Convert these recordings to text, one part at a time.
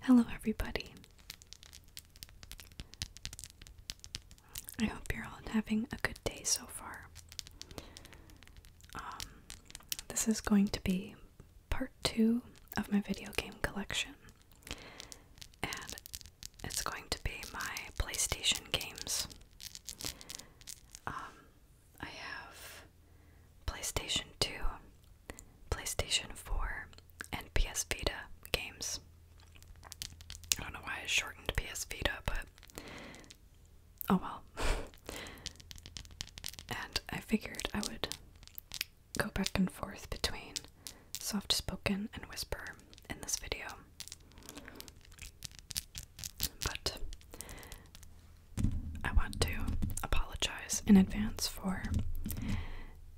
Hello, everybody. I hope you're all having a good day so far. Um, this is going to be part two of my video game collection, and it's going to be my PlayStation games. Um, I have PlayStation 2, PlayStation 4, and PS Vita games. I don't know why I shortened PS Vita, but oh well. and I figured I would go back and forth between soft spoken and whisper in this video. But I want to apologize in advance for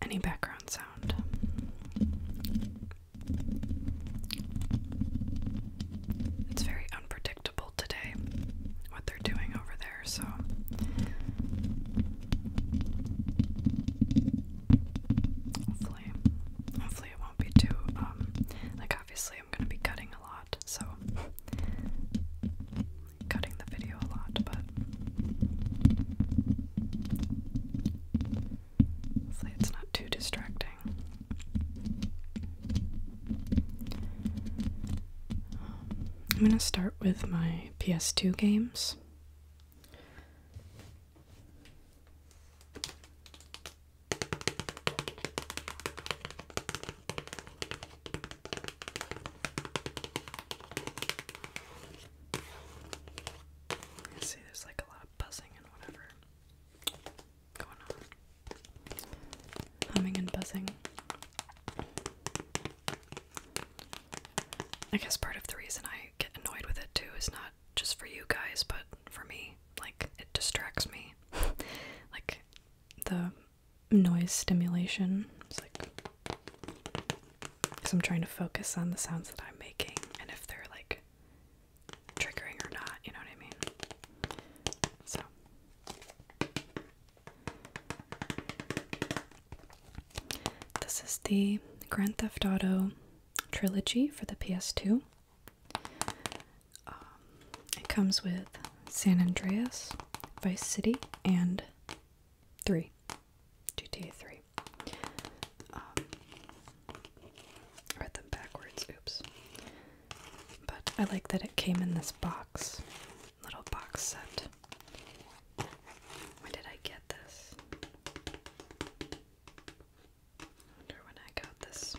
any background sound. It's very unpredictable today what they're doing over there, so. Hopefully, hopefully it won't be too um like obviously I'm gonna be cutting a lot, so cutting the video a lot, but hopefully it's not too distracting. I'm going to start with my PS2 games. I see there's like a lot of buzzing and whatever going on. Humming and buzzing. I guess part of the reason I get annoyed with it too is not just for you guys, but for me. Like, it distracts me. like, the noise stimulation. It's like because I'm trying to focus on the sounds that I'm making and if they're like triggering or not, you know what I mean? So this is the Grand Theft Auto trilogy for the PS2. Um, it comes with San Andreas, Vice City, and 3. Um, read them backwards, oops. But I like that it came in this box, little box set. When did I get this? I wonder when I got this.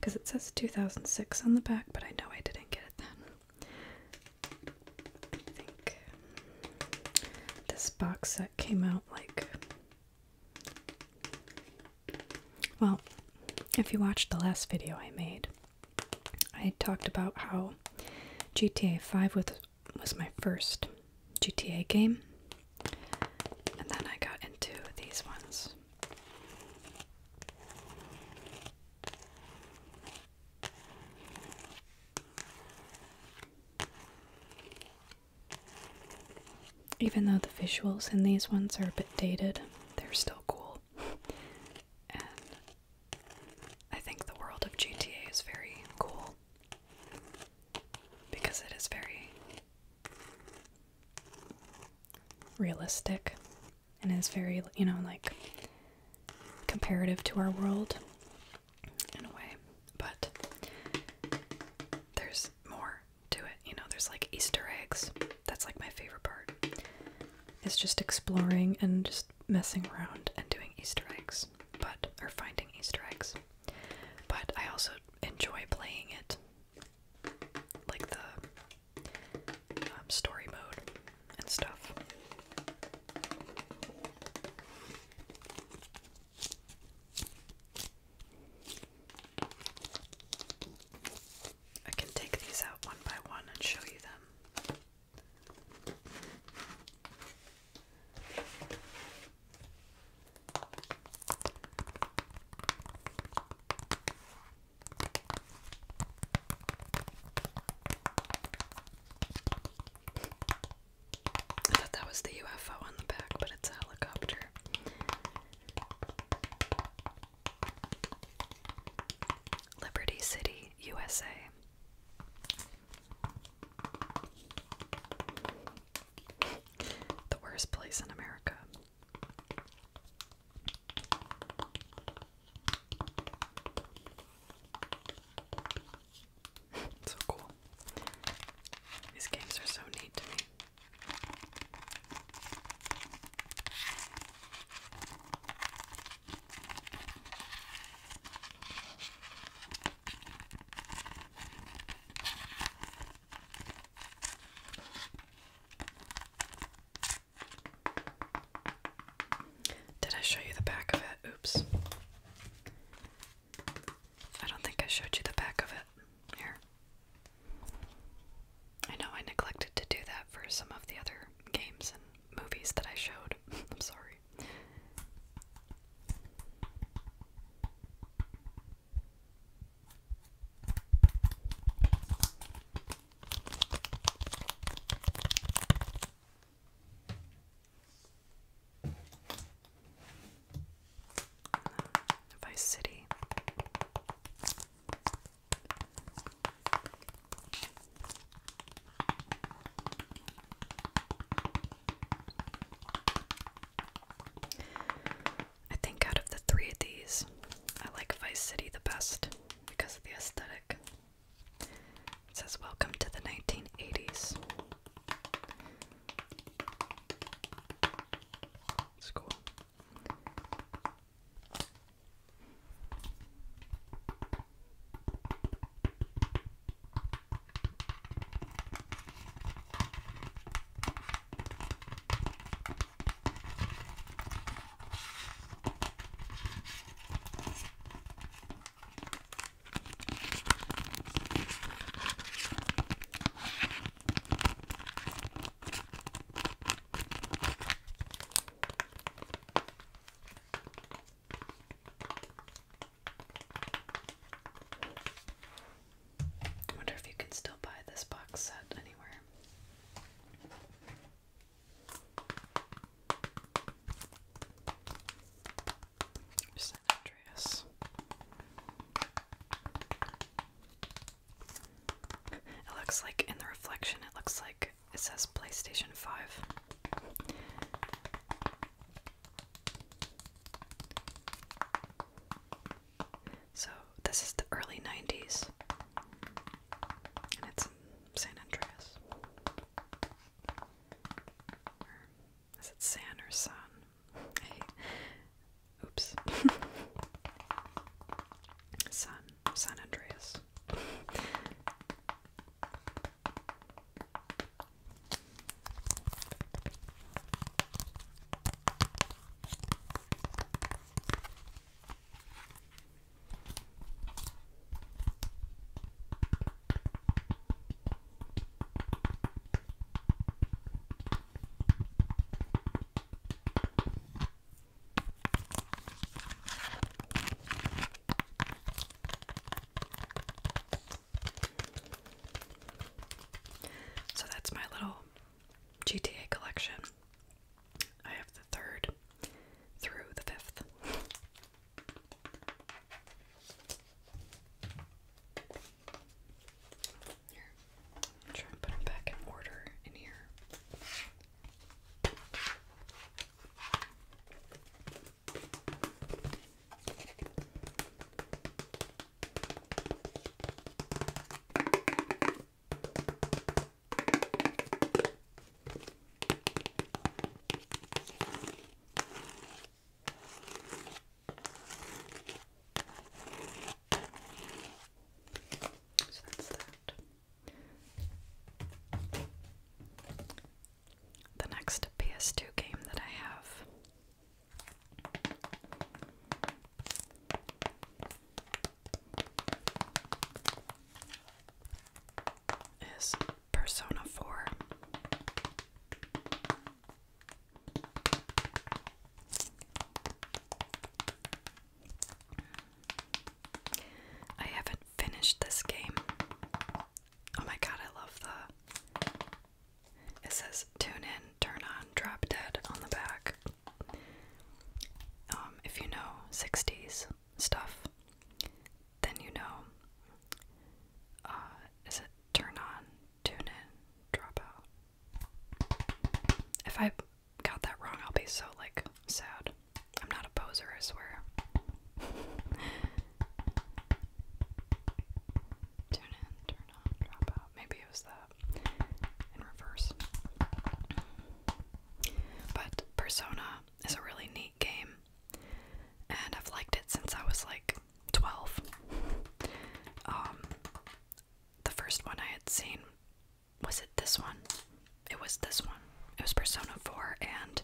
Because it says 2006 on the back, but I know I didn't get it then. I think this box set came out like. Well, if you watched the last video I made, I talked about how GTA 5 was, was my first GTA game, and then I got into these ones. Even though the visuals in these ones are a bit dated, they're still cool. and I think the world of GTA is very cool because it is very realistic and is very, you know, like comparative to our world in a way, but there's more to it. You know, there's like Easter eggs. That's like my favorite part. It's just exploring and just messing around and doing Easter eggs, but or finding Easter eggs. But I also enjoy playing it, like the um, story mode and stuff. I can take these out one by one and show you them. I thought that was the UFO on the back, but it's a helicopter. Liberty City, USA. the worst place in America. so cool. These games are so neat to me. Did I show you the back of it? Oops. I don't think I showed you the back of it. Here. I know I neglected to do that for some of the other games and movies that I showed. I'm sorry. Vice City. I think out of the three of these, I like Vice City the best because of the aesthetic. It says, Welcome to the 1980s. It's cool. I wonder if you can still buy this box set anywhere. San Andreas. It looks like in the reflection, it looks like it says PlayStation 5. So, this is the early 90s, and it's in San Andreas is it San or sun? Oops. San San Andreas. So that's my little GTA collection. I have the third through the fifth. Here, i try and put them back in order in here. So that's that. The next PS2 game that I have. Is Persona 4. I haven't finished this game. Oh my god, I love the. It says tune in, turn on, drop dead on the back. Um, if you know 60s stuff, then you know uh, is it turn on, tune in, drop out? If I got that wrong, I'll be so like sad. I'm not a poser, I swear. Tune in, turn on, drop out. Maybe it was that in reverse. But Persona is a really neat game and I've liked it since I was like 12. Um, the first one I had seen was it this one? It was this one. It was Persona 4 and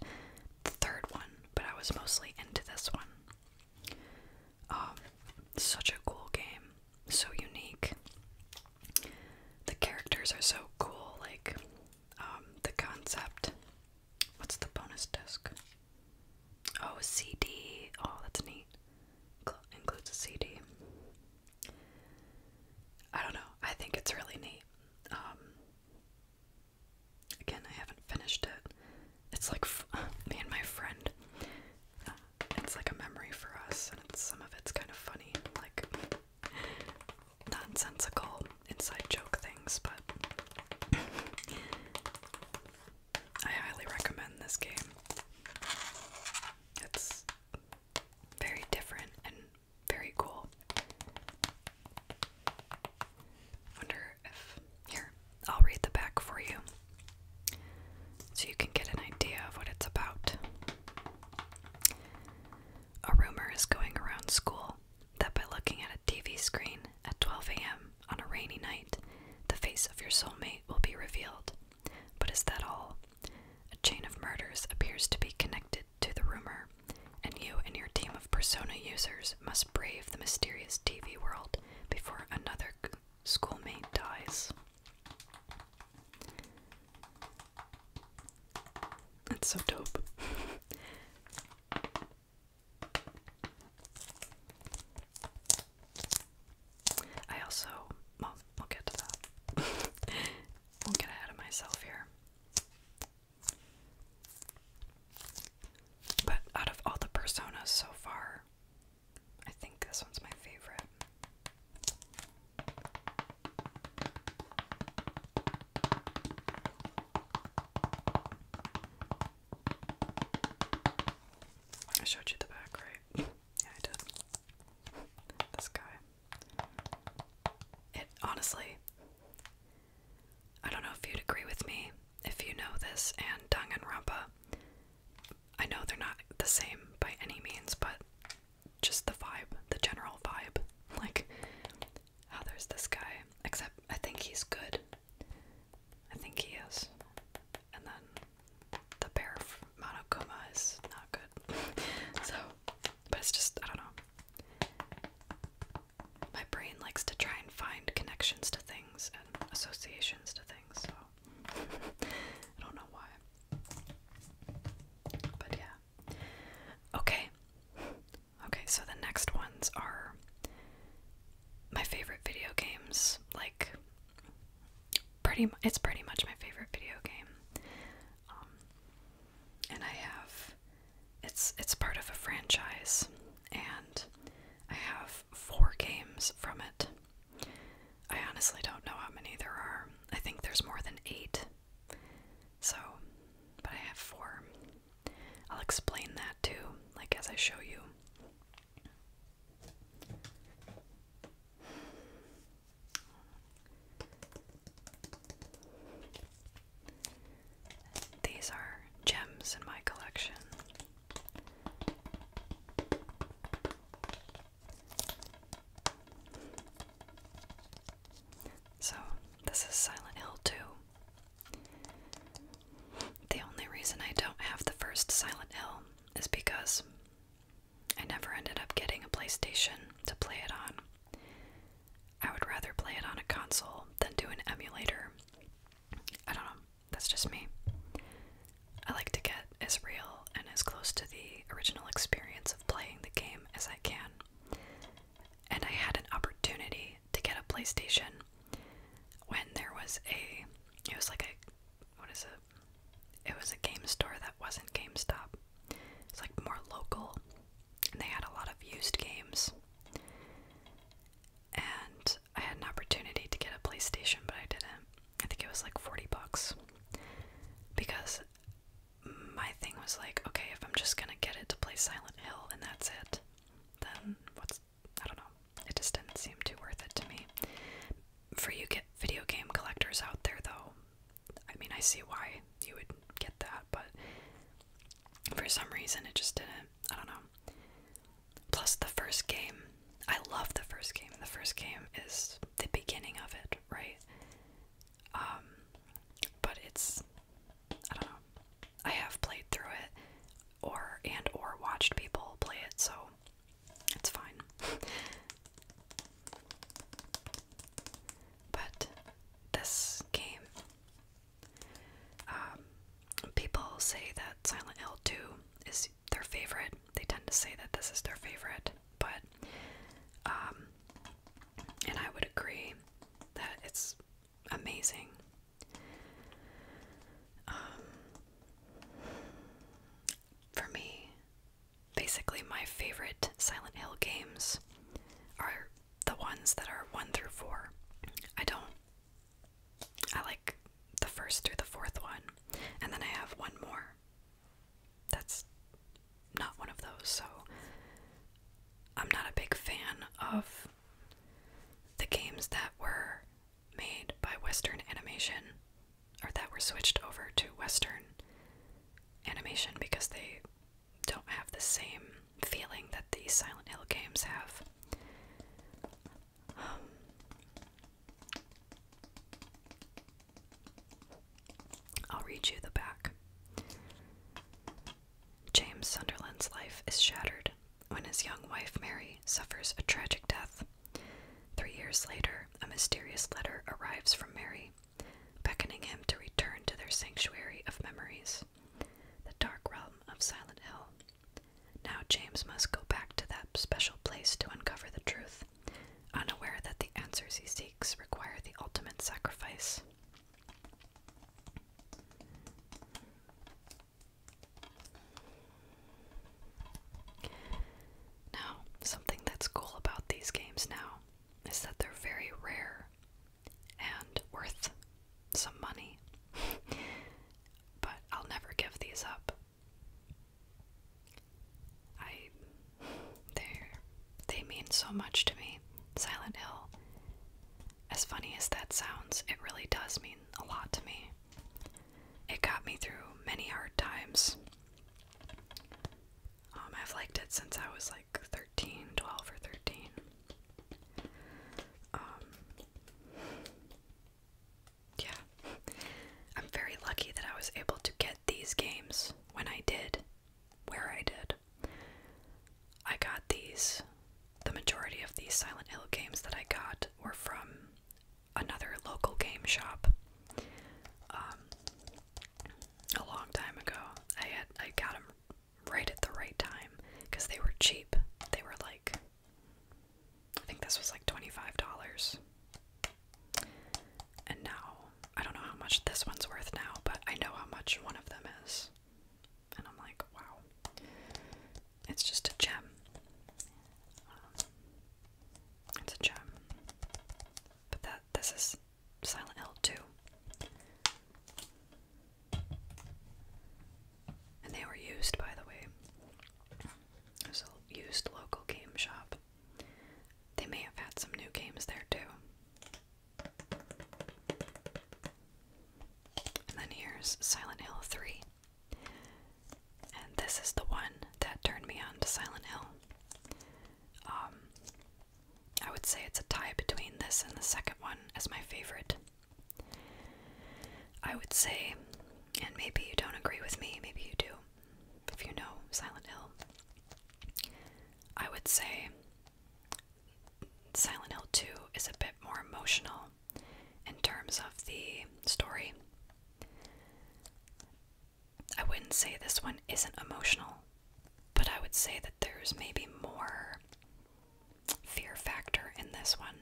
the third one, but I was mostly into this one. Um, such a cool game, so unique. The characters are so cool, like um, the concept What's the bonus disc? Oh, a CD. Oh, that's neat. includes a CD. I don't know. I think it's really neat. Um, again, I haven't finished it. It's like me and my friend. Uh, it's like a memory for us, and some of it's kind of funny, like nonsensical inside joke things, but I highly recommend this game. It's very different and very cool. Wonder if here, I'll read the back for you so you can get an idea of what it's about. A rumor is going around school that by looking at TV screen at 12 a.m. on a rainy night, the face of your soulmate will be revealed. But is that all? A chain of murders appears to be connected to the rumor, and you and your team of persona users must brave the mysterious TV world before another schoolmate dies. That's so dope. I also, well, we'll get to that. we'll get ahead of myself here. But out of all the personas so far, I think this one's my favorite. I showed you the back, right? Yeah, I did. This guy. It honestly, I don't know if you'd agree with me. If you know this and Danganronpa, I know they're not the same by any means, but just the vibe, the general vibe. Like, how oh, there's this guy, except I think he's good. I think he is. And then the pair of Monokuma is not good. so, but it's just, I don't know. My brain likes to try and find connections to things and associations to things, so I don't know why. But yeah. Okay. Okay, so the next ones are my favorite video games. Like, pretty, it's pretty much my favorite video game. Um, and I have, it's it's part of a franchise, and I have four games from it. I honestly don't know how many there are. I think there's more than eight. So, but I have four. I'll explain that too, like as I show you. These are gems in my collection. So, this is Silent Hill 2. The only reason I don't have the first Silent Hill is because I never ended up getting a PlayStation to play it on. I would rather play it on a console than do an emulator. I don't know, that's just me. I like to get as real and as close to the original experience of playing the game as I can. And I had an opportunity to get a PlayStation when there was a it was like a what is it? It was a game store that wasn't GameStop. It's like more local and they had a lot of used games. And I had an opportunity to get a PlayStation, but I didn't. I think it was like 40 bucks. Because my thing was like, okay, if I'm just gonna get it to play Silent Hill and that's it, then what's I don't know. It just didn't seem too worth it to me. For you get video game collectors out there though, I mean I see why you would get that, but for some reason it just didn't. I don't know. Plus the first game. I love the first game. The first game is the beginning of it, right? Um but it's I don't know. I have played through it or and or watched people play it, so it's fine. but this game, um, people say that Silent Hill 2 is their favorite. They tend to say that this is their favorite, but um, and I would agree that it's amazing. Um, for me, basically, my favorite Silent Hill games are the ones that are 1 through 4. I don't. I like the first through the fourth one, and then I have one more. That's not one of those, so I'm not a big fan of the games that were made by Western Animation, or that were switched over to Western Animation because they don't have the same feeling that these Silent Hill games have. Um, I'll read you the back. James Sunderland's life is shattered when his young wife Mary suffers a tragic death. Three years later, a mysterious letter arrives from Mary, beckoning him to return to their sanctuary of memories, the dark realm of Silent Hill. Now James must go back to that special place to uncover the truth, unaware that the answers he seeks require the ultimate sacrifice. Now, something that's cool about these games now is that they're very rare and worth some money. but I'll never give these up. I they they mean so much to me. Silent Hill. As funny as that sounds, it really does mean a lot to me. It got me through many hard times. Um, I've liked it since I was like 13, 12 or 13. Um, yeah. I'm very lucky that I was able to get these games when I did, where I did. I got these, the majority of these Silent Hill games that I got were from another local game shop. Um, a long time ago, I I got them right at the right time because they were cheap. They were like, I think this was like twenty five dollars, and now I don't know how much this one's worth now, but I know how much one of them is, and I'm like, wow. It's just a gem. Um, it's a gem. But that this is Silent Hill 2. And they were used, by the way. It was used local game shop. They may have had some new games there too. And then here's Silent Hill 3. And this is the one that turned me on to Silent Hill. Um, I would say it's a tie between this and the second one as my favorite. I would say, and maybe you don't agree with me, maybe you do, if you know Silent Hill, I would say Silent Hill 2 is a bit more emotional in terms of the story. I wouldn't say this one isn't emotional, but I would say that there's maybe more fear factor in this one,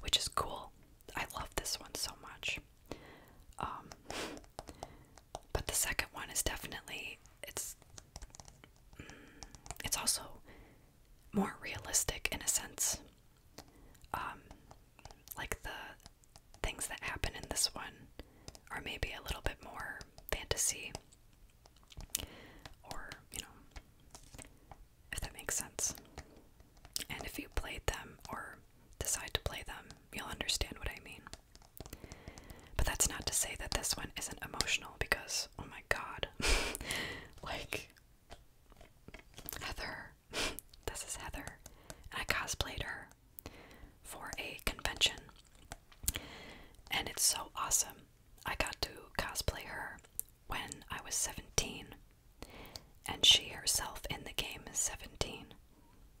which is cool. I love this one so much. Um, but the second one is definitely it's mm, it's also more realistic in a sense um, like the things that happen in this one are maybe a little bit more fantasy or, you know, if that makes sense. And if you played them or decide to play them, you'll understand what I mean. But that's not to say that this one isn't emotional because, oh my god, like Heather. this is Heather. And I cosplayed her for a convention. And it's so awesome. I got to cosplay her when I was 17. And she herself in the game is 17.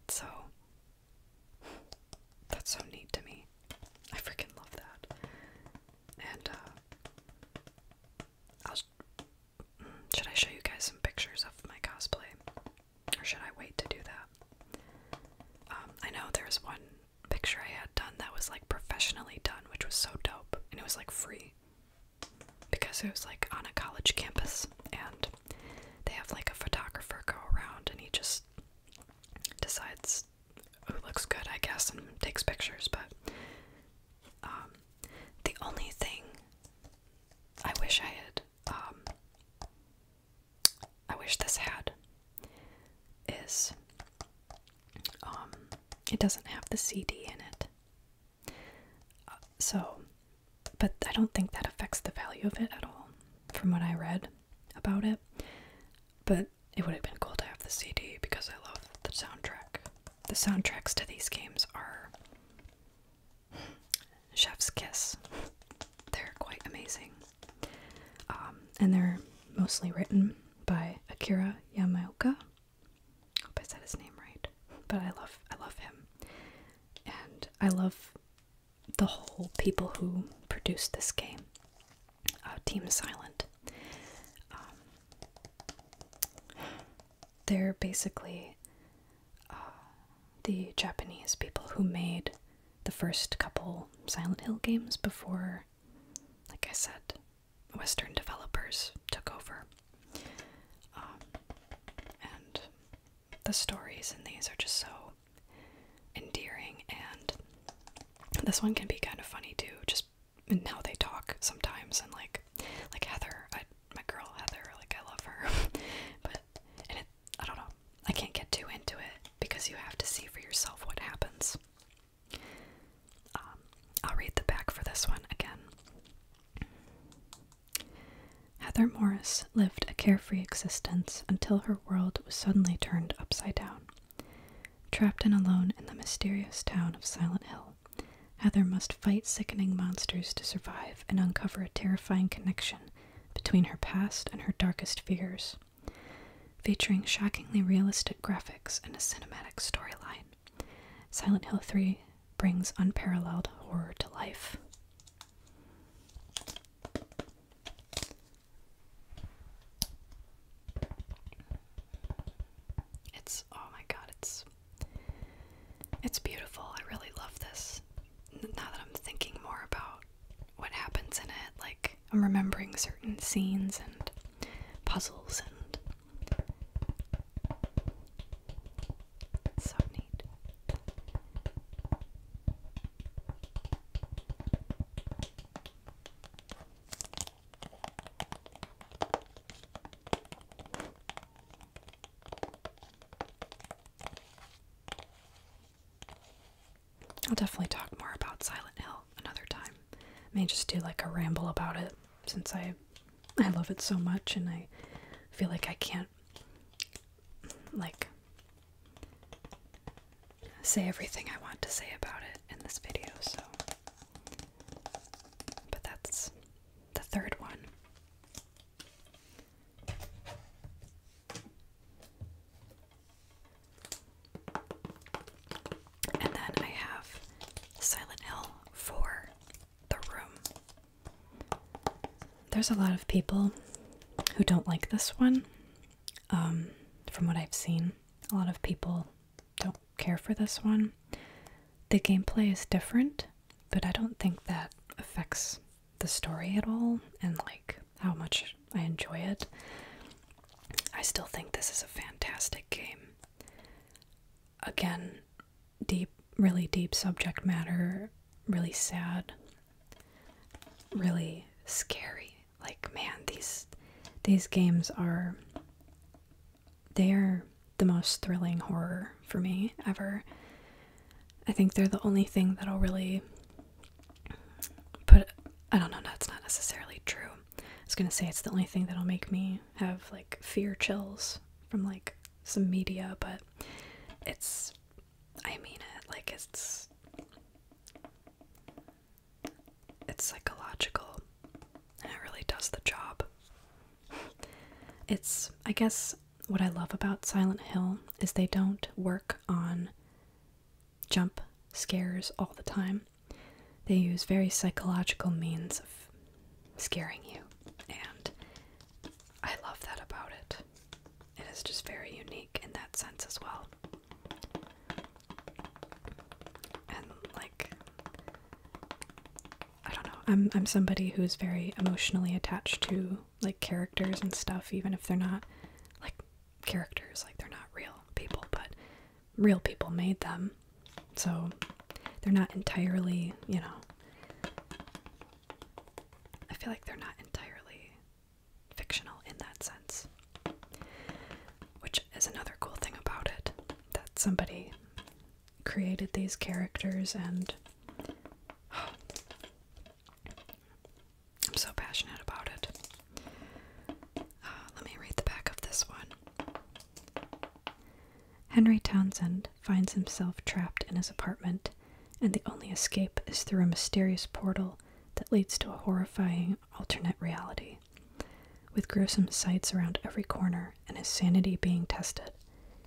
So that's so neat to me. I freaking love that. And uh, should I show you guys some pictures of my cosplay? Or should I wait to do that? Um, I know there was one picture I had done that was like professionally done, which was so dope, and it was like free because it was like on a college campus, and they have like a photographer go around and he just decides who looks good, I guess, and takes pictures. But um, the only thing I wish I had, um, I wish this had, is um, it doesn't have the CD in it. Uh, so, but I don't think that affects the value of it at all, from what I read about it. But it would have been cool to have the CD because I love the soundtrack the soundtracks to these games are chef's kiss. They're quite amazing. Um, and they're mostly written by Akira Yamaoka. Hope I said his name right. But I love I love him. And I love the whole people who produced this game. Uh, Team Silent. Um, they're basically uh, the Japanese people who made the first couple Silent Hill games before, like I said, Western developers took over. Um, and the stories in these are just so endearing, and this one can be kind of funny too, just in how they talk sometimes. And like, like Heather, my girl Heather, like I love her, but I don't know, I can't get too into it because you have to see for yourself what happens. Um, I'll read the back for this one again. Heather Morris lived a carefree existence until her world was suddenly turned upside down. Trapped and alone in the mysterious town of Silent Hill, Heather must fight sickening monsters to survive and uncover a terrifying connection between her past and her darkest fears. Featuring shockingly realistic graphics and a cinematic storyline, Silent Hill 3 brings unparalleled horror to life. It's oh my god, it's it's beautiful. I really love this. Now that I'm thinking more about what happens in it, like I'm remembering certain scenes and puzzles and so neat. I'll definitely talk more about Silent Hill another time. I may just do like a ramble about it since I I love it so much and I feel like I can't like say everything I want to say about it in this video, so but that's the third one. And then I have Silent Hill for the room. There's a lot of people who don't like this one. Um, from what I've seen, a lot of people don't care for this one the gameplay is different, but I don't think that affects the story at all and like how much I enjoy it. I still think this is a fantastic game. Again, deep, really deep subject matter, really sad, really scary. Like man, these these games are they're the most thrilling horror for me ever. I think they're the only thing that'll really put. I don't know, that's not necessarily true. I was gonna say it's the only thing that'll make me have like fear chills from like some media, but it's. I mean it. Like it's. It's psychological and it really does the job. It's, I guess, what I love about Silent Hill is they don't work on jump scares all the time. They use very psychological means of scaring you, and I love that about it. It is just very unique in that sense as well. And, like, I don't know. I'm I'm somebody who's very emotionally attached to like characters and stuff, even if they're not like characters, like they're not real people, but real people made them. So they're not entirely, you know. I feel like they're not entirely fictional in that sense. Which is another cool thing about it that somebody created these characters and I'm so passionate about it. Uh, let me read the back of this one. Henry Townsend finds himself trapped in his apartment, and the only escape is through a mysterious portal that leads to a horrifying alternate reality. With gruesome sights around every corner, and his sanity being tested.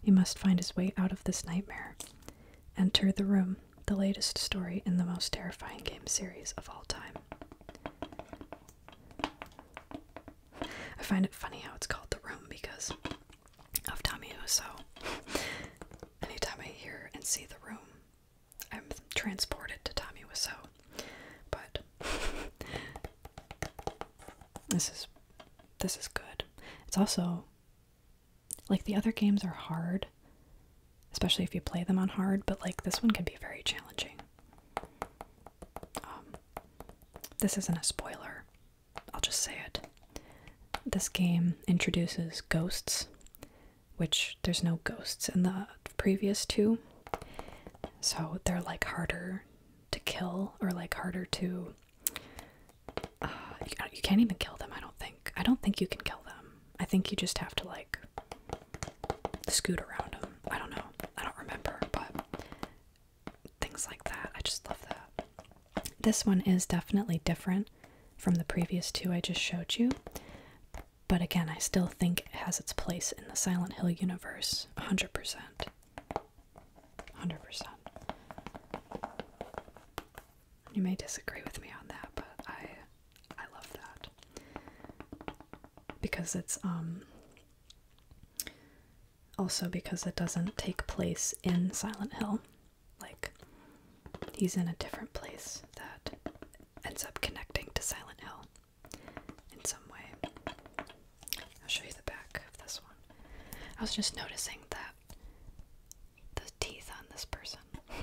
He must find his way out of this nightmare. Enter the Room, the latest story in the most terrifying game series of all time. I find it funny how it's called The Room because of Tommy Wiseau. Anytime I hear and see The Room, I'm transported to Tommy Wiseau. But This is this is good. It's also like the other games are hard, especially if you play them on hard, but like this one can be very challenging. Um, this isn't a spoiler. I'll just say it. This game introduces ghosts, which there's no ghosts in the previous two. So they're like harder to kill or like harder to uh, you, can't even kill them, I don't think. I don't think you can kill them. I think you just have to, like, scoot around them. I don't know. I don't remember, but things like that. I just love that. This one is definitely different from the previous two I just showed you. But again, I still think it has its place in the Silent Hill universe, 100%. 100%. You may disagree with me on that, but I I love that. Because it's um also because it doesn't take place in Silent Hill. Like he's in a different place that ends up connecting to Silent Hill in some way. I'll show you the back of this one. I was just noticing that the teeth on this person.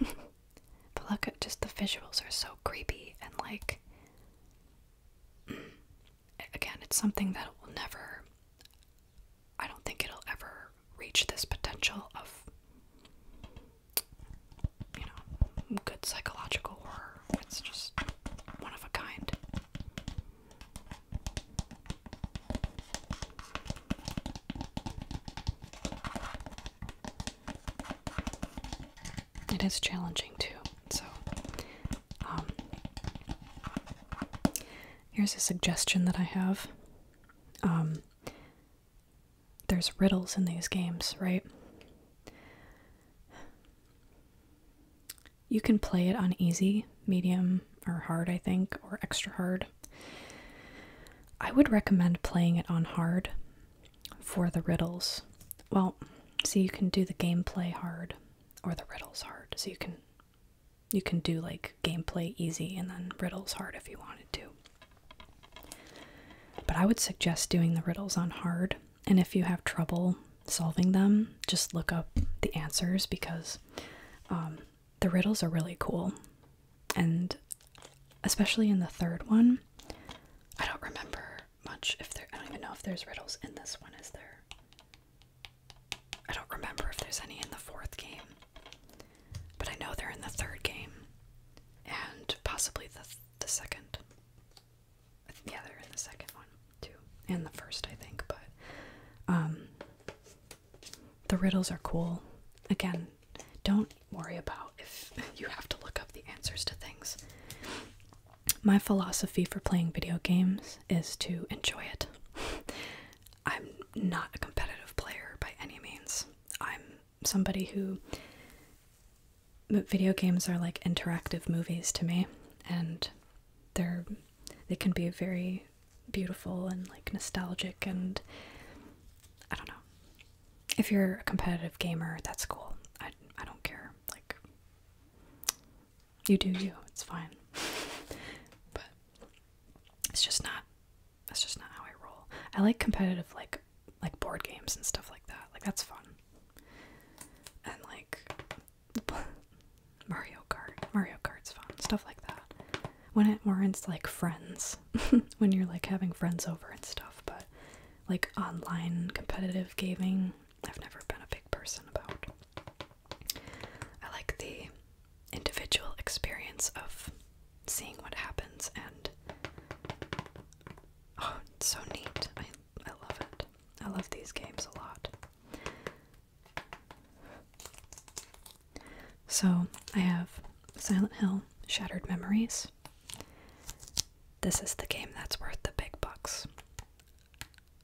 but look at just the visuals are so creepy and like again, it's something that will never I don't think it'll ever reach this potential of you know, good psychological horror. It's just one of a kind. It is challenging too. So, um, here's a suggestion that I have. Um, there's riddles in these games, right? You can play it on easy, medium, or hard, I think, or extra hard. I would recommend playing it on hard for the riddles. Well, see, you can do the gameplay hard or the riddles hard. So you can you can do like gameplay easy and then riddles hard if you wanted to. But I would suggest doing the riddles on hard, and if you have trouble solving them, just look up the answers because um, the riddles are really cool. And especially in the third one, I don't remember much if there I don't even know if there's riddles in this one, is there? I don't remember if there's any in the fourth game. But I know they're in the third game. And possibly the the second. Yeah, they're in the second one too. And the first I think, but um the riddles are cool. Again, don't worry about if you have to look up the answers to things. My philosophy for playing video games is to enjoy it. I'm not a competitive player by any means. I'm somebody who. Video games are like interactive movies to me, and they're they can be very beautiful and like nostalgic and I don't know. If you're a competitive gamer, that's cool. I I don't care. Like you do you. It's fine. but it's just not that's just not how I roll. I like competitive like like board games and stuff like that. Like that's fun. And like Mario Kart. Mario Kart's fun. Stuff like that. When it warrants like friends, when you're like having friends over and stuff, but like online competitive gaming, I've never been a big person about. I like the individual experience of seeing what happens and oh, it's so neat. I I love it. I love these games a lot. So I have Silent Hill, Shattered Memories. This is the game that's worth the big bucks.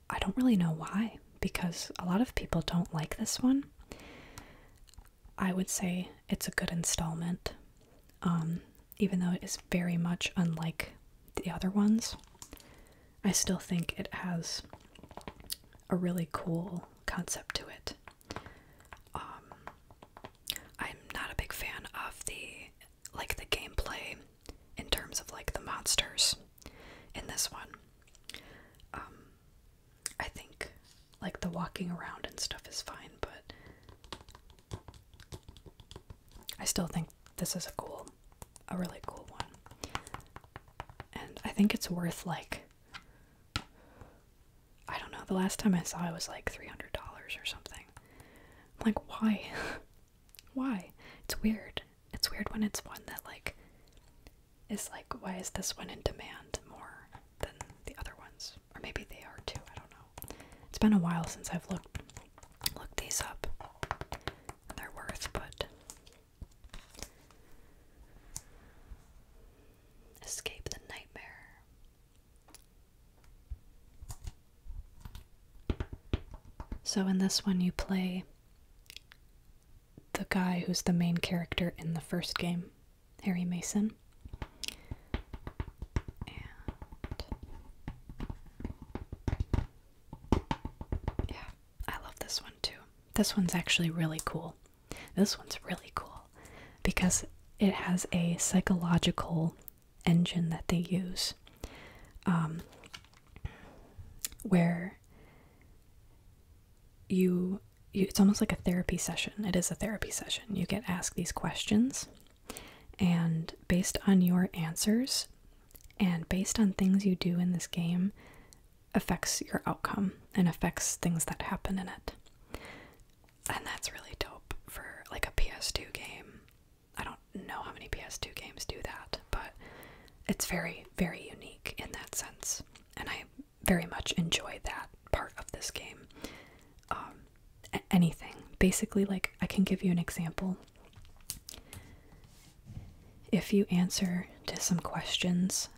I don't really know why, because a lot of people don't like this one. I would say it's a good installment, um, even though it is very much unlike the other ones. I still think it has a really cool concept to it. Um, I'm not a big fan of the like the gameplay in terms of like the monsters in this one. Um, I think like the walking around and stuff is fine, but I still think this is a cool, a really cool one. And I think it's worth like I don't know. The last time I saw it was like $300 or something. I'm like, why? why? It's weird. It's weird when it's one that like is like, why is this one in demand more than the other ones? Or maybe they are too. I don't know. It's been a while since I've looked looked these up. their worth, but Escape the nightmare. So, in this one, you play the guy who's the main character in the first game, Harry Mason. yeah, I love this one too. This one's actually really cool. This one's really cool because it has a psychological engine that they use um, where you, it's almost like a therapy session. It is a therapy session. You get asked these questions, and based on your answers and based on things you do in this game, affects your outcome and affects things that happen in it. And that's really dope for like a PS2 game. I don't know how many PS2 games do that, but it's very, very unique in that sense. And I very much enjoy that part of this game. Um, anything. Basically, like, I can give you an example. If you answer to some questions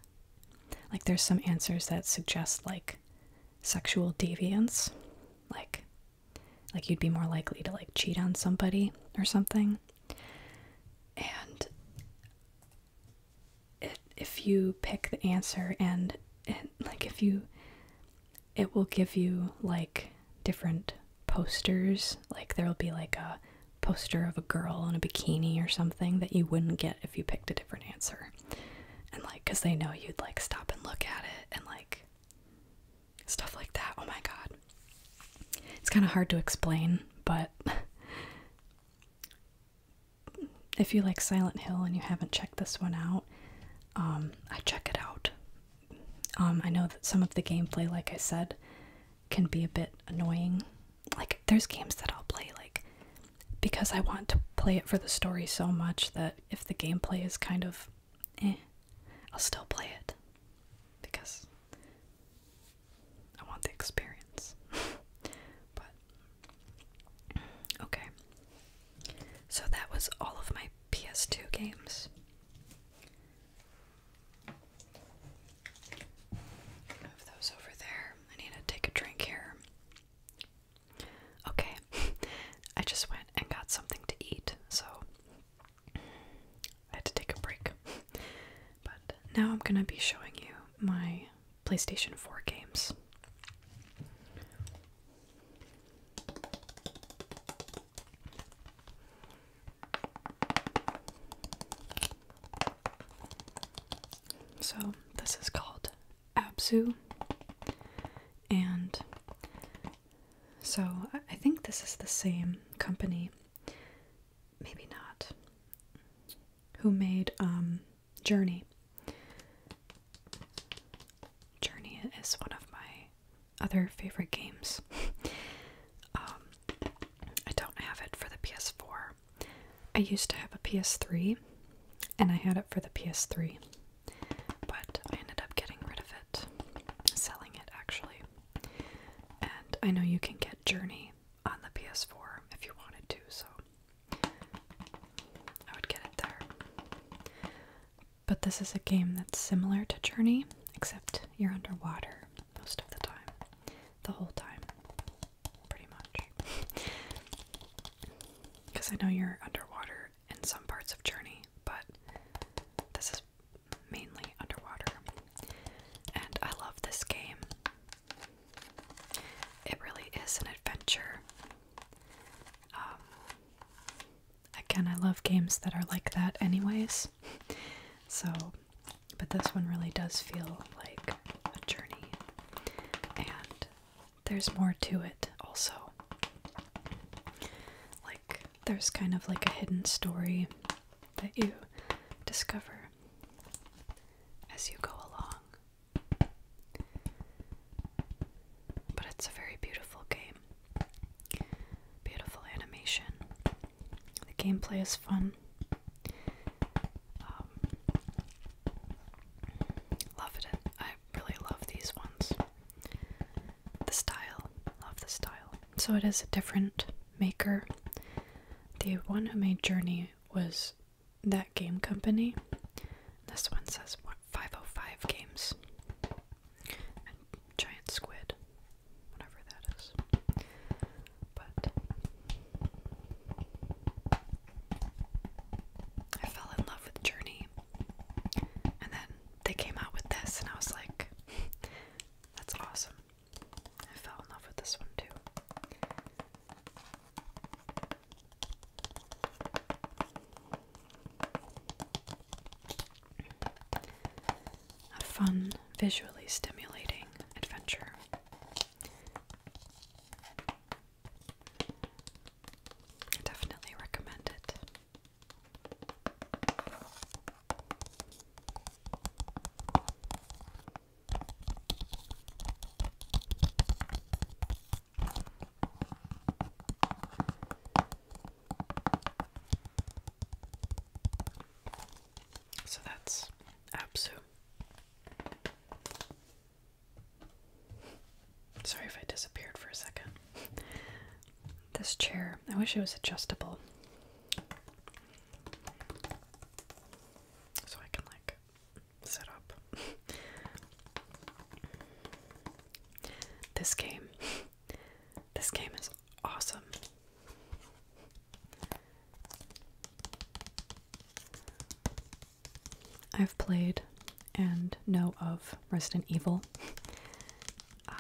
like, there's some answers that suggest, like, sexual deviance, like, like you'd be more likely to like cheat on somebody or something. And if you pick the answer and, and like if you, it will give you like different posters. Like there'll be like a poster of a girl in a bikini or something that you wouldn't get if you picked a different answer. And like, because they know you'd like stop and look at it and like stuff like that. Oh my god. It's kind of hard to explain, but if you like Silent Hill and you haven't checked this one out, um, I check it out. Um, I know that some of the gameplay, like I said, can be a bit annoying like there's games that I'll play like because I want to play it for the story so much that if the gameplay is kind of eh, I'll still play it because I want the experience. but okay. So that was all of my PS2 games. Move those over there. I need to take a drink here. Okay, I just went and got something to eat, so I had to take a break. But now I'm gonna be showing you my PlayStation 4 games. So, this is called Absu. And so, I think this is the same company, maybe not, who made um, Journey. Journey is one of my other favorite games. um, I don't have it for the PS4, I used to have a PS3 and I had it for the PS3, but I ended up getting rid of it, selling it actually. And I know you can get Journey on the PS4 if you wanted to, so I would get it there. But this is a game that's similar to Journey, except you're underwater most of the time, the whole time pretty much. Because I know you're underwater in some parts of Journey, but this is mainly underwater. And I love this game. It really is an adventure. Um, again, I love games that are like that, anyways. So, but this one really does feel like a journey and there's more to it also. Like, there's kind of like a hidden story that you discover as you go along. But it's a very beautiful game. Beautiful animation. The gameplay is fun. Um, Love it. I really love these ones. The style. Love the style. So it is a different maker. The one who made Journey was that game company. This one says 505 Games. And giant squid. Whatever that is. But I fell in love with Journey. And then they came out with this, and I was like, that's awesome. I fell in love with this one too. A fun, visually stimulating adventure. I definitely recommend it. So that's Absu. Sorry if I disappeared for a second. This chair, I wish it was adjustable. So I can like set up. This game. This game is awesome. I've played and know of Resident Evil. Um,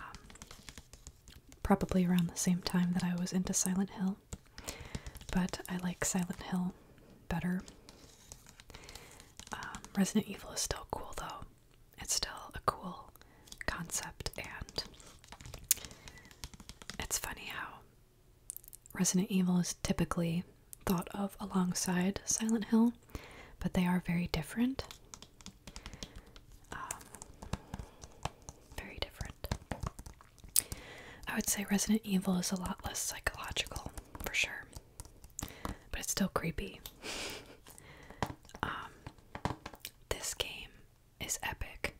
probably around the same time that I was into Silent Hill, but I like Silent Hill better. Um, Resident Evil is still cool though. It's still a cool concept, and it's funny how Resident Evil is typically thought of alongside Silent Hill, but they are very different. Um, very different. I would say Resident Evil is a lot less psychological, for sure, but it's still creepy. Um, this game is epic.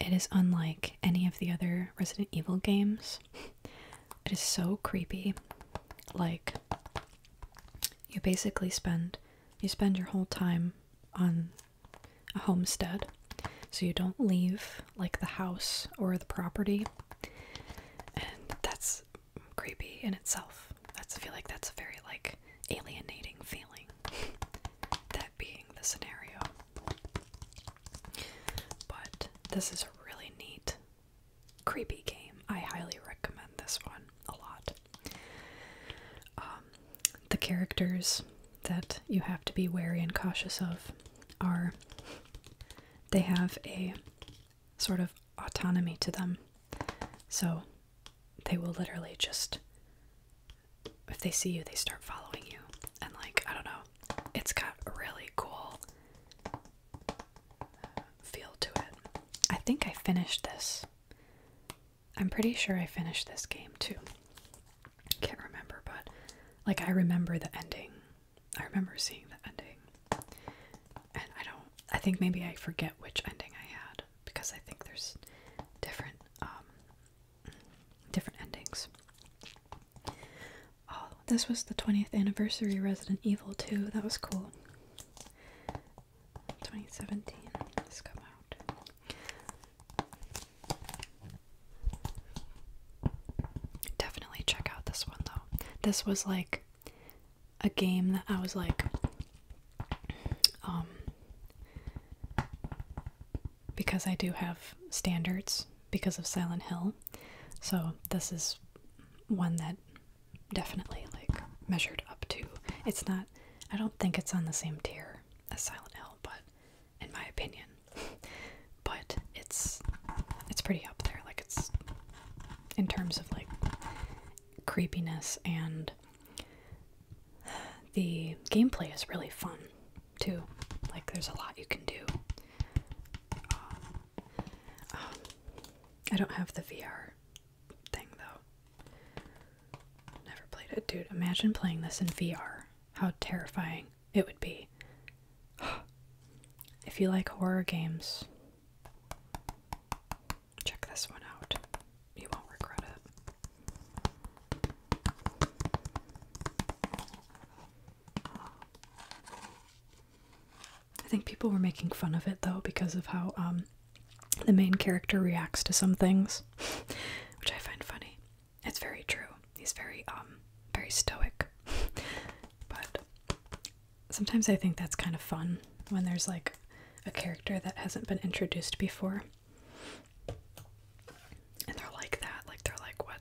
It is unlike any of the other Resident Evil games. It is so creepy. Like you basically spend you spend your whole time on a homestead. So you don't leave like the house or the property. And that's creepy in itself. That's I feel like that's a very like alienating feeling. that being the scenario. But this is a really neat, creepy game. I highly recommend this one a lot. Um, the characters that you have to be wary and cautious of are they have a sort of autonomy to them. So they will literally just, if they see you, they start following you. And, like, I don't know, it's got a really cool uh, feel to it. I think I finished this. I'm pretty sure I finished this game too. Can't remember, but like I remember the ending. I remember seeing the ending. And I don't I think maybe I forget which ending I had because I think there's different um, different endings. Oh, this was the 20th anniversary Resident Evil 2. That was cool. 2017. This come out. Definitely check out this one though. This was like a game that I was like um because I do have standards because of Silent Hill. So this is one that definitely like measured up to. It's not I don't think it's on the same tier as Silent Hill, but in my opinion. but it's it's pretty up there. Like it's in terms of like creepiness and the gameplay is really fun too. Like there's a lot you can do. Um, um, I don't have the VR thing though. Never played it. Dude, imagine playing this in VR. How terrifying it would be. if you like horror games, check this one out. You won't regret it. I think people were making fun of it though because of how um, the main character reacts to some things, which I find funny. It's very true. He's very um, very stoic. but sometimes I think that's kind of fun when there's like a character that hasn't been introduced before. And they're like that, like they're like what?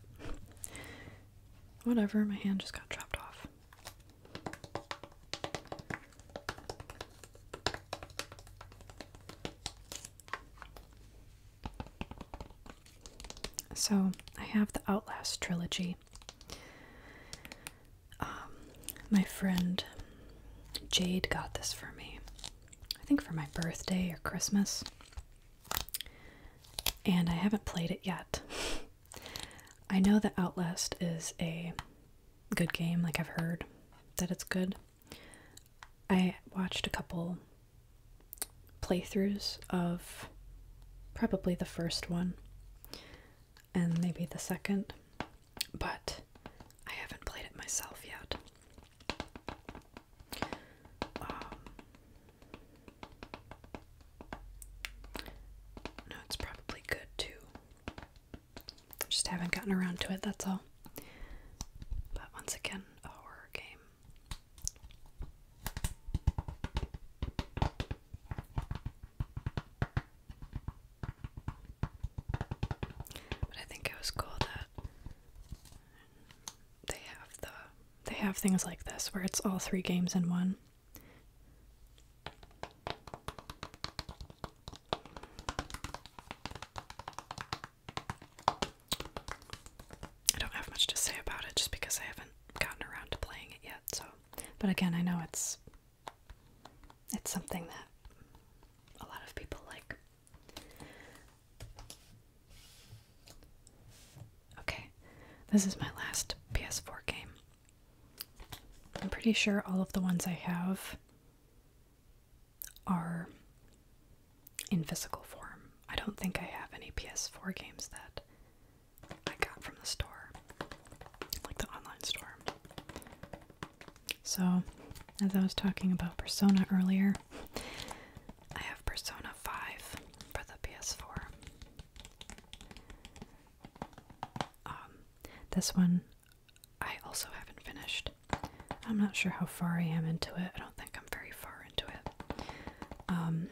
Whatever, my hand just got chopped off. So, I have the Outlast trilogy. Um, my friend Jade got this for me, I think for my birthday or Christmas, and I haven't played it yet. I know that Outlast is a good game, like I've heard that it's good. I watched a couple playthroughs of probably the first one and maybe the second, but I haven't played it myself yet. Um, no, it's probably good too. Just haven't gotten around to it, that's all. But once again, a horror game. But I think it was cool that they have the they have things like this where it's all three games in one. I don't have much to say about it just because I haven't gotten around to playing it yet, so but again I know it's it's something that a lot of people like. Okay, this is my last PS4 game. I'm pretty sure all of the ones I have are in physical form. I don't think I have any PS4 games that I got from the store, like the online store. So, as I was talking about Persona earlier, I have Persona 5 for the PS4. Um, this one I also haven't finished. I'm not sure how far I am into it. I don't think I'm very far into it. Um,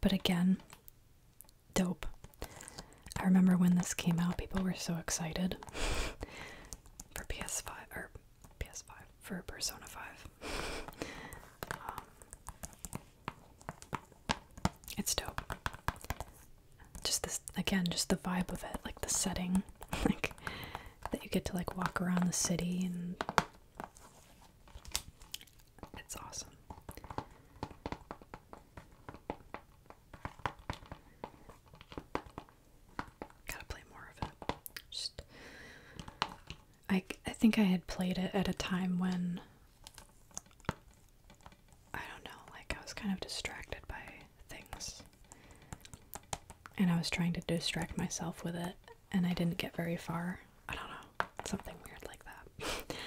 but again, dope. I remember when this came out, people were so excited for PS5 or PS5 for Persona 5. Um, it's dope. Just this again, just the vibe of it, like the setting, like that you get to like walk around the city and it's awesome. Gotta play more of it. Just I, I think I had played it at a time when I don't know, like I was kind of distracted by things. And I was trying to distract myself with it, and I didn't get very far. I don't know, something weird like that.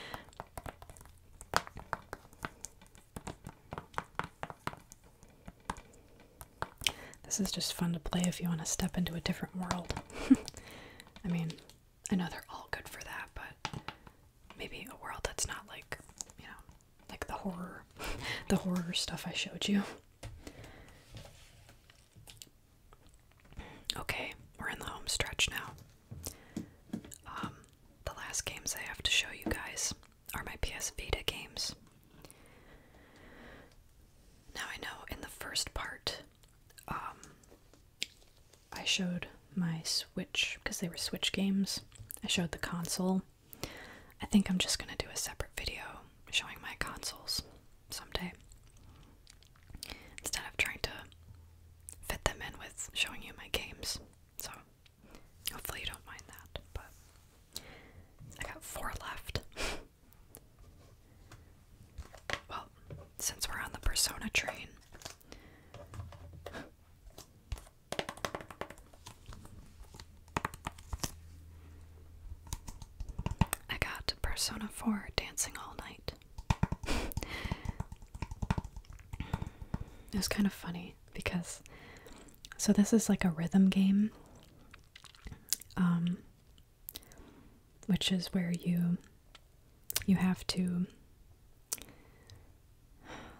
This is just fun to play if you want to step into a different world. I mean, I know they're all good for that, but maybe a world that's not like, you know, like the horror, the horror stuff I showed you. Okay, we're in the home stretch now. Um, the last games I have to show you guys are my PS Vita games. Now I know in the first part, um, I showed my Switch because they were Switch games. I showed the console. I think I'm just gonna do a separate video showing my consoles someday instead of trying to fit them in with showing you my games. So hopefully you don't mind that, but I got four left. Well, since we're on the persona train. I got Persona 4 dancing all night. it was kind of funny because so this is like a rhythm game. Um, which is where you you have to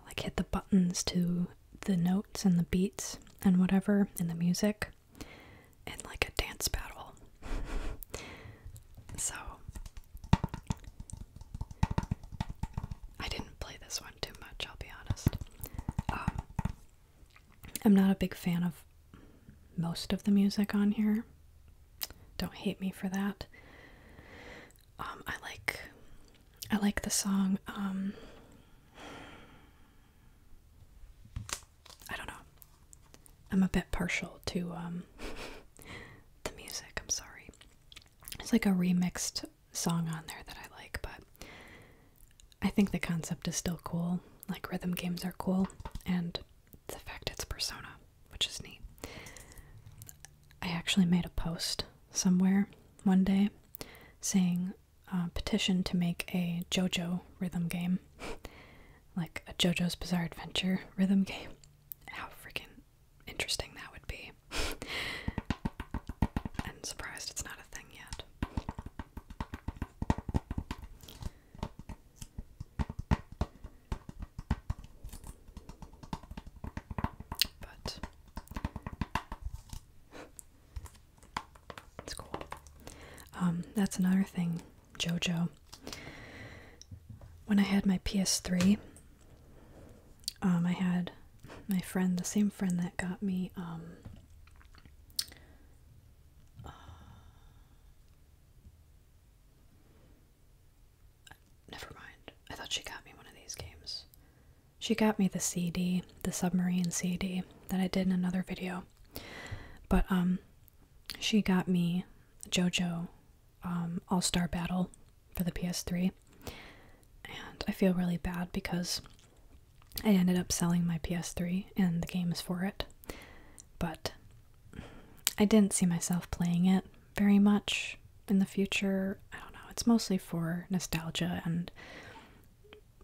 like hit the buttons to the notes and the beats and whatever in the music in like a dance battle. so I didn't play this one too much, I'll be honest. Um, I'm not a big fan of most of the music on here don't hate me for that. Um, I like I like the song. Um, I don't know. I'm a bit partial to um, the music. I'm sorry. It's like a remixed song on there that I like, but I think the concept is still cool. Like rhythm games are cool, and the fact it's Persona, which is neat. I actually made a post somewhere one day saying uh, petition to make a JoJo rhythm game, like a JoJo's Bizarre Adventure rhythm game. How freaking interesting that would be! and surprised it's not a thing yet. But it's cool. Um, that's another thing, JoJo. When I had my PS3, um, I had my friend, the same friend that got me um, Never mind. I thought she got me one of these games. She got me the CD, the submarine CD that I did in another video. But um she got me JoJo um, All-Star Battle for the PS3. And I feel really bad because I ended up selling my PS3 and the games for it. But I didn't see myself playing it very much in the future. I don't know. It's mostly for nostalgia and,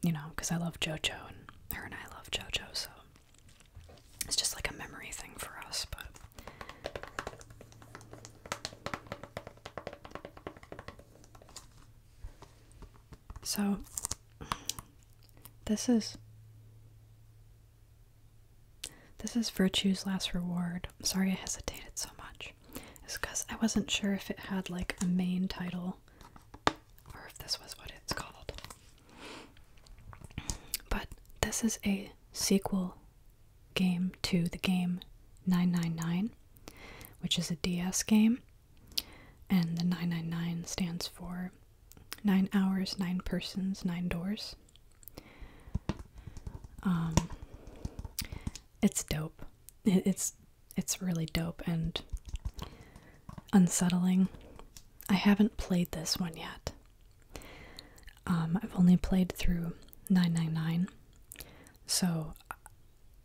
you know, because I love JoJo and her and I love JoJo, so it's just like a memory thing for us, but. So, this is this is Virtue's Last Reward. I'm sorry I hesitated so much. It's because I wasn't sure if it had like a main title or if this was what it's called. But this is a sequel game to the game 999, which is a DS game. And the 999 stands for 9 hours, 9 persons, 9 doors. Um, it's dope. It's it's really dope and unsettling. I haven't played this one yet. Um, I've only played through 999, so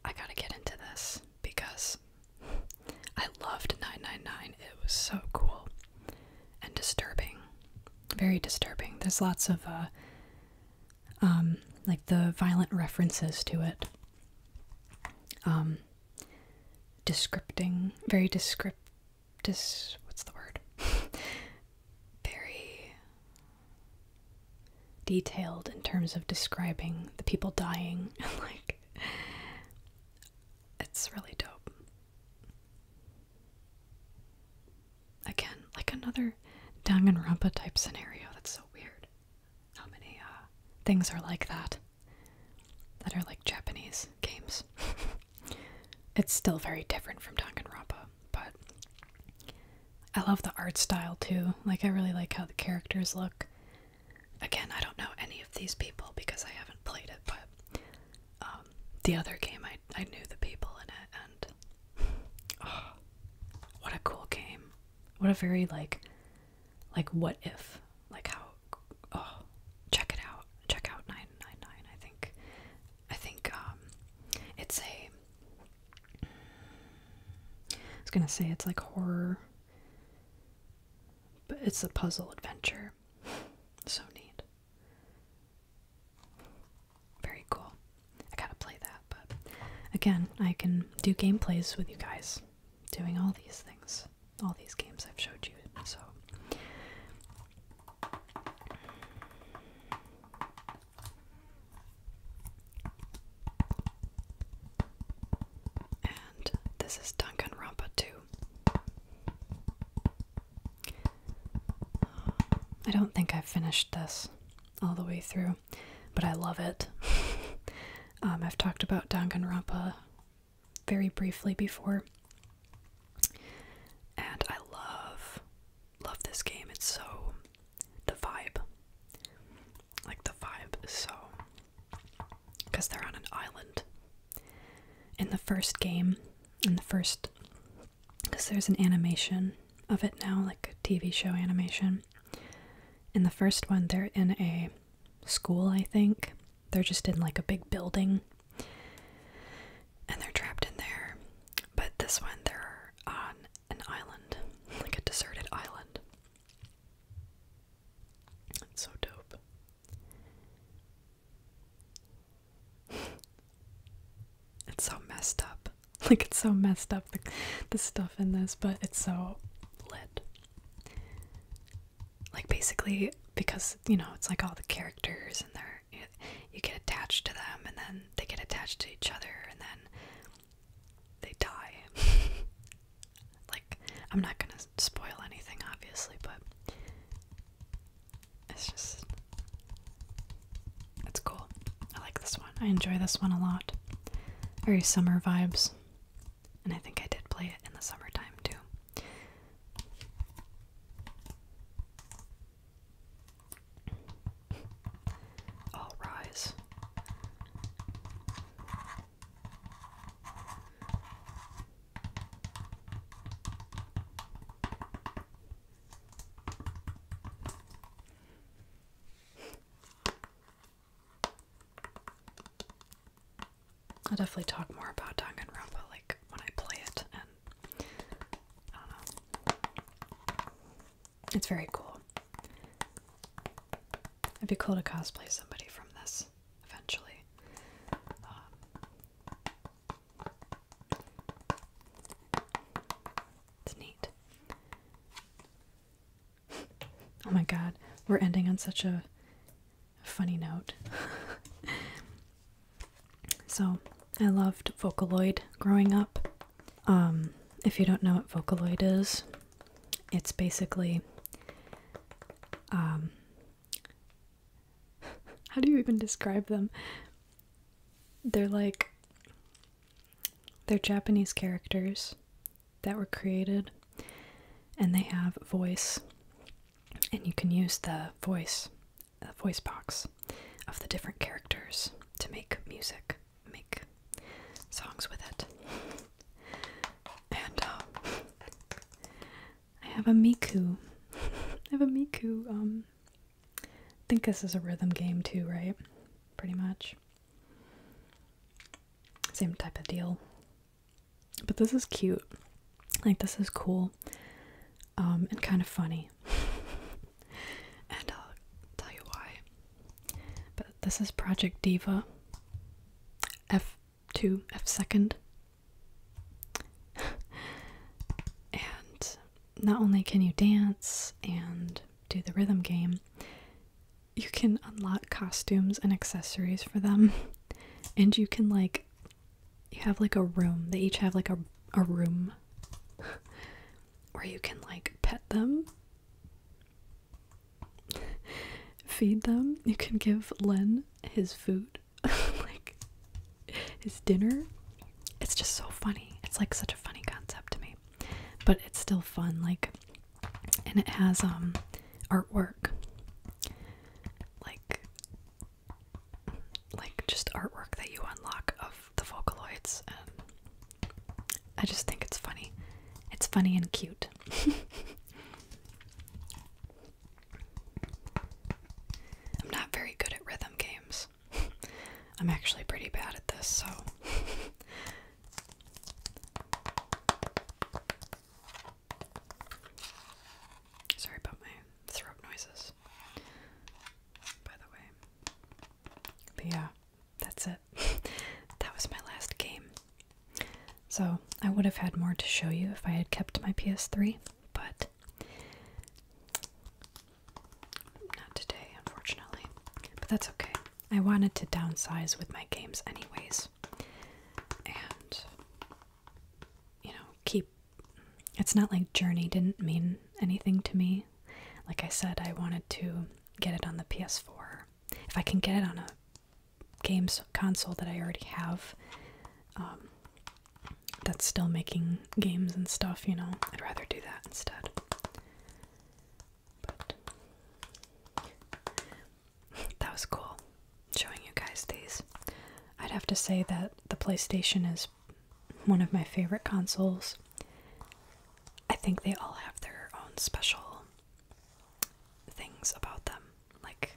I gotta get into this because I loved 999. It was so cool and disturbing. Very disturbing. There's lots of, uh, um, like the violent references to it. Um, descripting, very descript, dis, what's the word? very detailed in terms of describing the people dying and like it's really dope Again, like another Rampa type scenario. That's so weird. How many uh, things are like that? That are like Japanese games. it's still very different from Rampa, but I love the art style too. Like I really like how the characters look. Again, I don't know any of these people because I haven't played it, but um, the other game I I knew the people in it, and oh, what a cool game! What a very like, like what if, like how? Oh, check it out! Check out nine nine nine. I think, I think um, it's a. I was gonna say it's like horror, but it's a puzzle adventure. So neat. Very cool. I gotta play that, but again, I can do gameplays with you guys doing all these things. All these games I've showed you, so. And this is Duncan Rampa 2. I don't think i finished this all the way through, but I love it. Um, I've talked about Danganronpa very briefly before, and I love love this game. It's so the vibe, like the vibe so because they're on an island. In the first game, in the first because there's an animation of it now, like TV show animation. In the first one, they're in a school, I think. They're just in like a big building and they're trapped in there. But this one, they're on an island, like a deserted island. It's so dope. it's so messed up. Like it's so messed up the the stuff in this, but it's so lit. Like basically because you know it's like all the characters and they're you, you get attached to them and then they get attached to each other and then they die. like I'm not gonna spoil anything obviously, but it's just. It's cool. I like this one. I enjoy this one a lot. Very summer vibes. And I think I did play it in the summertime too. All rise. I'll definitely talk more about Danganronpa like when I play it and I don't know. It's very cool. It'd be cool to cosplay somebody from this eventually. Um, it's neat. Oh my god, we're ending on such a funny note. so, I loved Vocaloid growing up. Um, if you don't know what Vocaloid is, it's basically um, how do you even describe them? They're like they're Japanese characters that were created and they have voice and you can use the voice the voice box of the different characters to make music, make songs with it. And uh, I have a Miku. I have a Miku um, I think this is a rhythm game too, right? Pretty much. Same type of deal. But this is cute. Like this is cool. Um, and kind of funny. and I'll tell you why. But this is Project Diva. F two F second. and not only can you dance and do the rhythm game, you can unlock costumes and accessories for them. And you can like you have like a room. They each have like a a room where you can like pet them. Feed them. You can give Len his food. like is dinner. It's just so funny. It's like such a funny concept to me. But it's still fun, like and it has um artwork. Like like just artwork that you unlock of the Vocaloids and I just think it's funny. It's funny and cute. I'm not very good at rhythm games, I'm actually pretty bad at this, so. Sorry about my throat noises, by the way. But yeah, that's it. that was my last game. So, I would have had more to show you if I had kept my PS3, but not today, unfortunately. But that's okay. I wanted to downsize with my games, anyways. And, you know, keep. It's not like Journey didn't mean anything to me. Like I said, I wanted to get it on the PS4. If I can get it on a games console that I already have, um, that's still making games and stuff, you know, I'd rather do that instead. that was cool showing you guys these. I'd have to say that the PlayStation is one of my favorite consoles. I think they all have their own special things about them, like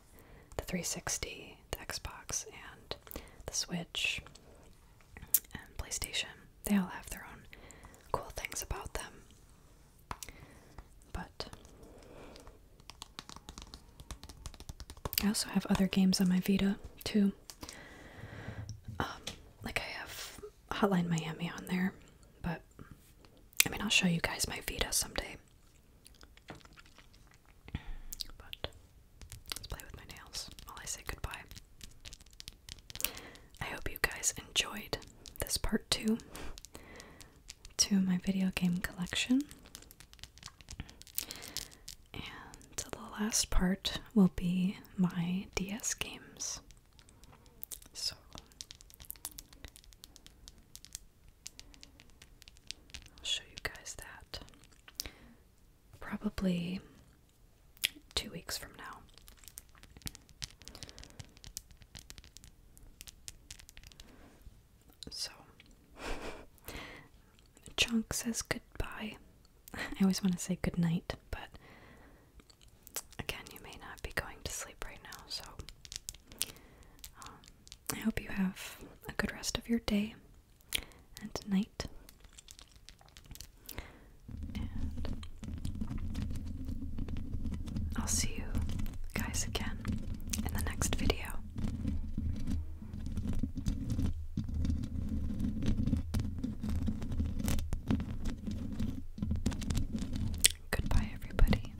the 360, the Xbox, and the Switch and PlayStation. They all have their own cool things about them. But I also have other games on my Vita too. Um, like I have Hotline Miami on there, but I mean I'll show you guys my Vita someday. But let's play with my nails while I say goodbye. I hope you guys enjoyed this part two to my video game collection. And the last part will be my DS games. So I'll show you guys that. Probably two weeks from now. So, Chunk says goodbye. I always want to say goodnight, but again, you may not be going to sleep right now, so um, I hope you have a good rest of your day and tonight. I'll see you guys again in the next video. Goodbye, everybody.